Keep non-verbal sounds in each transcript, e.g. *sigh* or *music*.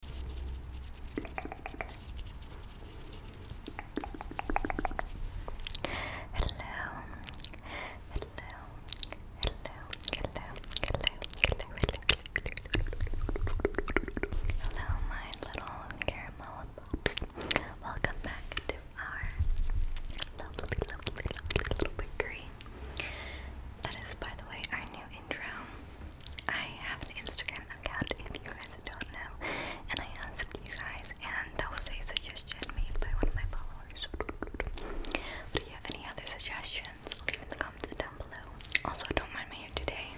hello, hello, hello, hello, hello, hello. Hello, my little caramel pops. Welcome back to our lovely, lovely, lovely little bakery. That is, by the way, our new intro. I have an Instagram account if you guys don't know, and I asked you guys, and that was a suggestion made by one of my followers. Do you have any other suggestions? Leave in the comments down below. Also, don't mind me hair today,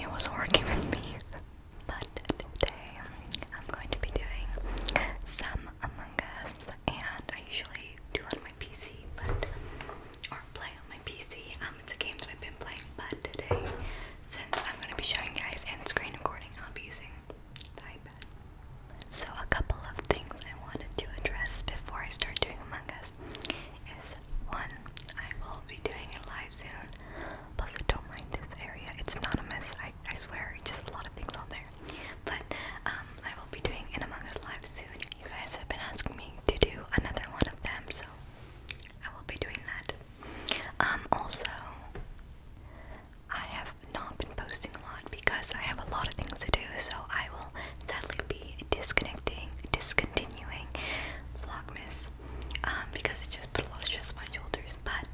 it wasn't working with me. But today, I'm going to be doing some Among Us, and I usually do on my PC, but play on my PC. Um, it's a game that I've been playing, but today, since I'm going to be showing you guys end screen recording, I'll be using TypePad. So a couple of things I wanted to address before I start doing Among Us is one, I will be doing it live soon. Plus, I don't mind this area; it's not a mess. I I swear, just a lot of things on there. But um, I will be doing an Among Us live soon. You guys have been asking me to do another one of them, so I will be doing that. Um, also, I have not been posting a lot because I have a lot of things to do, so I will sadly be disconnecting, discontinuing Vlogmas um, because it just put a lot of stress on my shoulders. But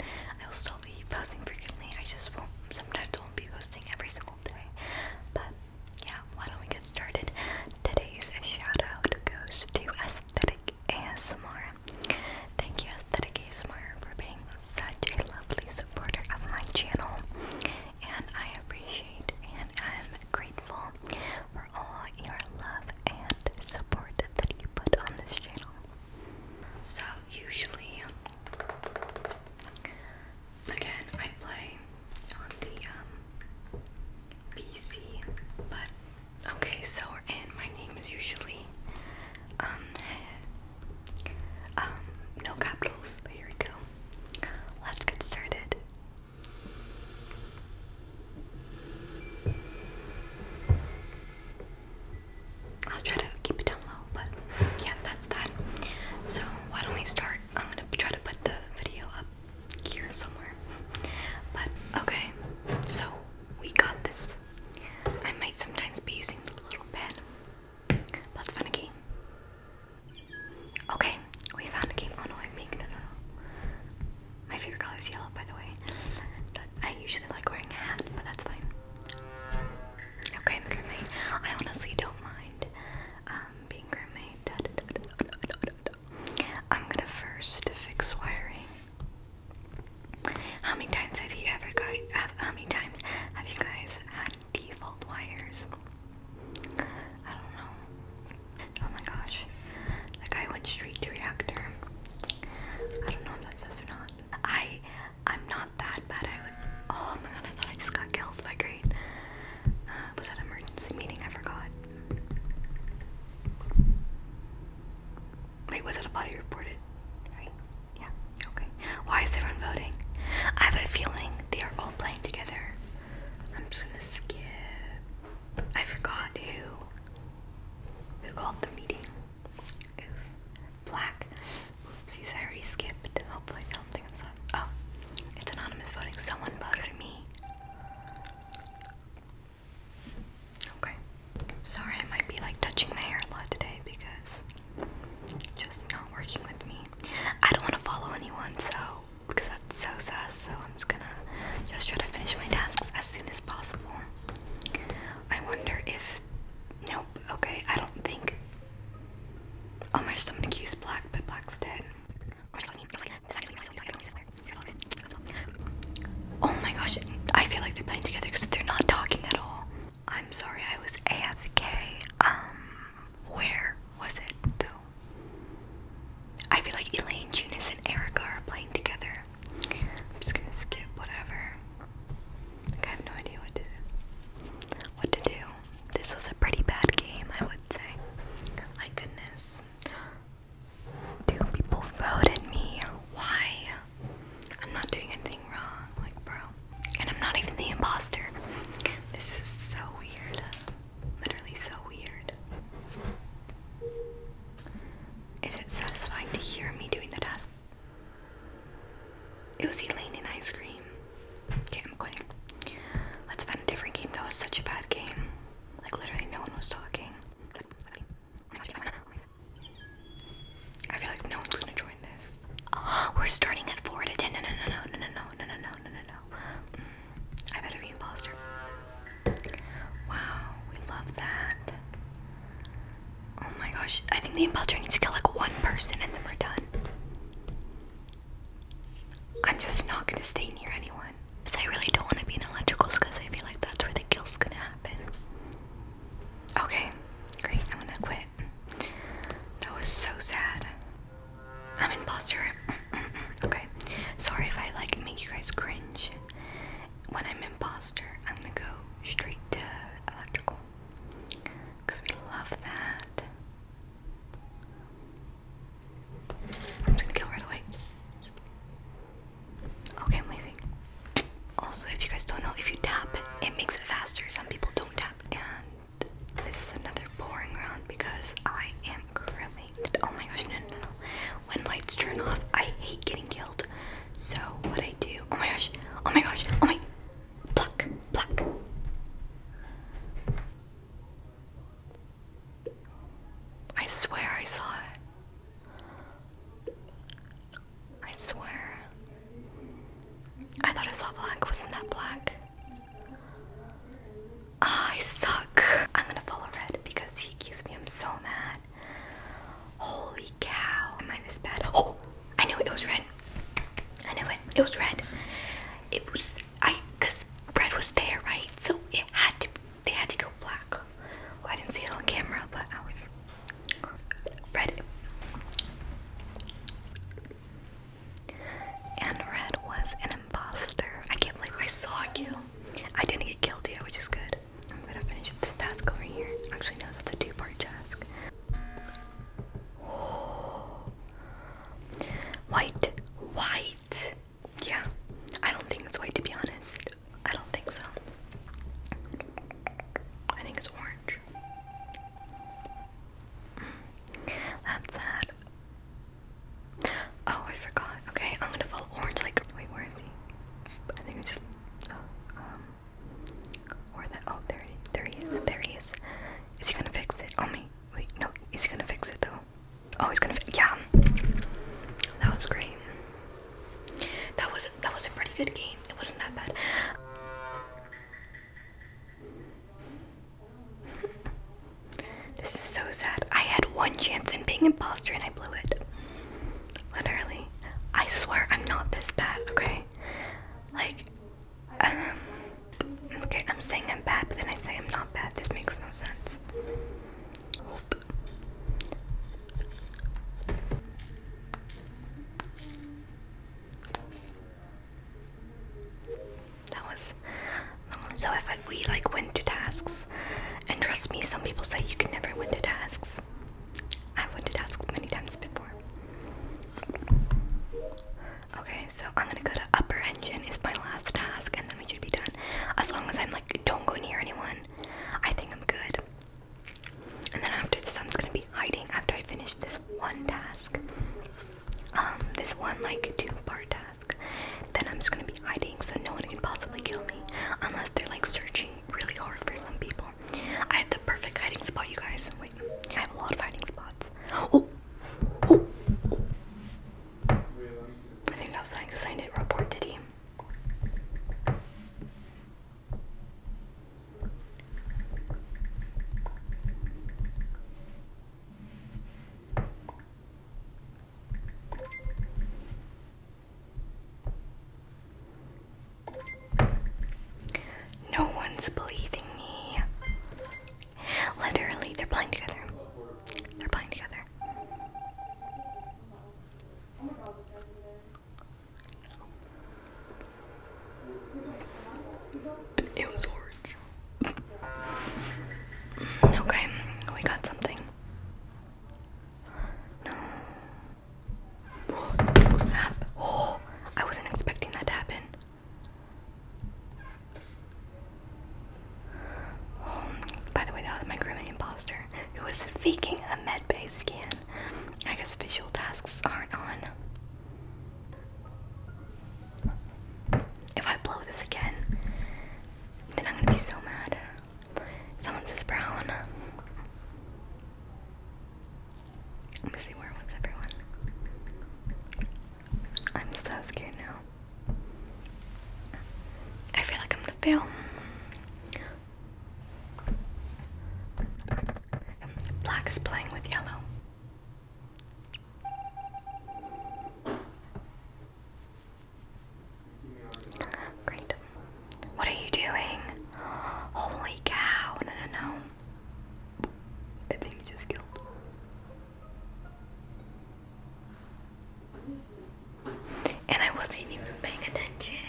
I will still be posting frequently. I just won't, sometimes I won't be posting every single day. But yeah, why don't we get started? Today's shout goes to Aesthetic ASMR. Thank you, Aesthetic ASMR, for being such a lovely supporter of my channel. And I appreciate and I'm grateful for all your love and support that you put on this channel. So, usually, Again, I play on the um, PC, but okay, so we My name is usually um, um, no capitals, but here we go. Let's get started. I'll try to keep it down low, but yeah, that's that. So, why don't we start I'm gonna try to put the video up here somewhere. But okay, so we got this. I might sometimes be using the little pen. Let's find a game. Okay, we found a game. Oh no, I'm pink. No, no, no. My favorite color is yellow, by the way. I usually like wearing a hat, but that's fine. Okay, I'm I honestly don't mind. Um, being roommate. Da, da, I'm gonna first fix wiring. How many times have you ever got? how many times have you guys had default wires? I don't know. Oh my gosh, that guy went straight to reactor. I don't know if that says or not. I, I'm not that bad. I Oh my god, I thought I just got killed by green. Uh, was that an emergency meeting? I forgot. Wait, was it a body reported? Yeah. Okay. Why is everyone voting? I have a feeling they are all playing together. I'm just gonna skip. I forgot who. Who called the meeting? Black. Oopsies, I already skipped. Hopefully they don't think I'm sorry. Oh, it's anonymous voting. Someone voted for me. Okay. Sorry, I might be like touching my hair a lot today because just not working with me. I don't want to follow anyone, so because that's so sus. So I'm just gonna just try to finish my tasks as soon as possible. I wonder if. Nope. Okay. I don't think Oh my someone accused Black, but Black's dead. Oh my gosh, I feel like they're playing together because they're not talking at all. I'm sorry, I was AFK. Um, where was it though? I feel like Elaine, Junis, and Erica are playing together. I'm just gonna skip whatever. I have no idea what to what to do this was a pretty bad game, I would say. My goodness. Do people voted me? Why? I'm not doing anything wrong, like, bro. And I'm not even the imposter. This is so weird. Literally so weird. Is it satisfying to hear me doing the task? It was Elaine and ice cream. Okay, I'm quitting. Let's find a different game. That was such a bad game. Like literally no one was talking. I feel like no one's gonna join this. we're starting at four to No, no, no, no, no, no, no, no, no, no, no. I better be imposter. Wow, we love that. Oh my gosh, I think the imposter needs to kill like one person and then we're done. I'm just not gonna stay near anyone. Because I really don't want to be in electricals because I feel like that's where the kill's gonna happen. Okay, great, I'm gonna quit. That was so sad. I'm imposter. *clears throat* okay, sorry if I like make you guys cringe. When I'm imposter, I'm gonna go straight to electrical because we love that. I'm just gonna go right away. Okay, I'm leaving. Also, if you guys don't know, if you tap, it makes it faster. Some people don't tap. And this is another boring round because I am currently. Oh my gosh, no, no, no. When lights turn off, I hate getting killed. So, what I do. Oh my gosh, oh my gosh, oh my. Pluck, pluck. I swear I saw it. I swear. I thought I saw black. Wasn't that black? Ah, I suck. I'm gonna follow red because he accused me. I'm so mad. Holy cow. Am I this bad? Oh! I knew it was red. I knew it. It was red. It was I because red was there, right? So it had to. They had to go black. Oh, I didn't see it on camera, but I was red and red was an impostor. I can't believe I saw a kill. I didn't get killed yet, which is good. I'm gonna finish this task over here. Actually, no, that's a two-part task. *gasps* White, white. Yeah, I don't think it's white to be honest. I don't think so. I think it's orange. Mm. That's sad. Oh, I forgot. Okay, I'm gonna follow orange. Like, wait, where is he? I think I just. Oh, um, or that oh there he is, there he is. Is he gonna fix it? Oh me wait, no, he's gonna fix it though. Oh he's gonna fix yeah. That was great. That was that was a pretty good game. It wasn't that bad. *laughs* this is so sad. I had one chance in being imposter and I blew it. Literally. I swear I'm not this bad, okay? Like, um, okay, I'm saying I'm bad, but then I say I'm not bad. This makes no sense. That was so. If we like went to tasks, and trust me, some people say you can never win to tasks. I wanted to ask many times before. Okay, so I'm gonna go to upper engine is my last task, and then we should be done. As long as I'm like, don't go near anyone. I think I'm good. And then after this, I'm gonna be hiding after I finish this one task. Um, this one like two-part task. Then I'm just gonna be hiding so no one can possibly kill me, unless they're like searching really hard for some people. I had the perfect hiding spot, you guys. Wait, I have a lot of hiding spots. Oh, oh, oh. I think that was because I didn't report, did he? No one's believing me. Literally, they're playing together. They're playing together. It was orange. okay, we got something. No. Oh, I wasn't expecting that to happen. Oh, by the way, that was my crewmate imposter who was faking a medbay scan. I guess visual tasks aren't on. If I blow this again, then I'm gonna be so mad. Someone says brown. Let me see where was everyone. I'm so scared now. I feel like I'm gonna fail. Black is playing with yellow. Great. What are you doing? Holy cow. No, no, no. I think he just killed. And I wasn't even paying attention.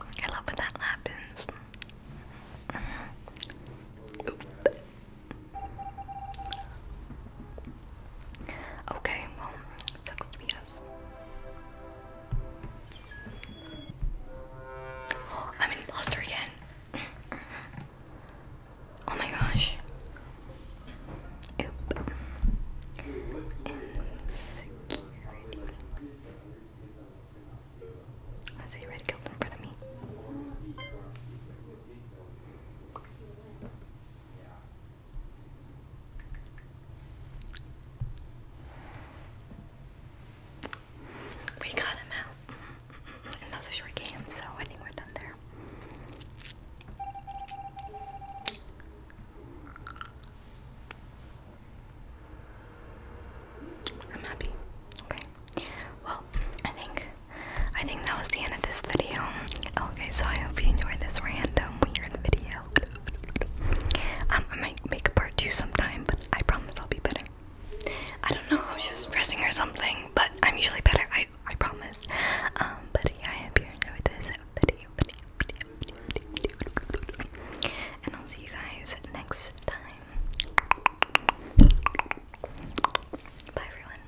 I love when that happens. Mm-hmm. Okay, well, sucks to be Oh, *gasps* I'm in imposter again. *clears throat* oh my gosh. Oop. I see red killed in front of me. We got him out. Mm-hmm. And that a short game, so I think we're done there. I'm happy. Okay. Well, I think I think that was the end of this video. Okay, so I hope you enjoyed this rant some weird video. Um, I might make a part two sometime, but I promise I'll be better. I don't know, I was just stressing or something, but I'm usually better, I, I promise. Um, but yeah, I hope you enjoyed this video. And I'll see you guys next time. Bye, everyone.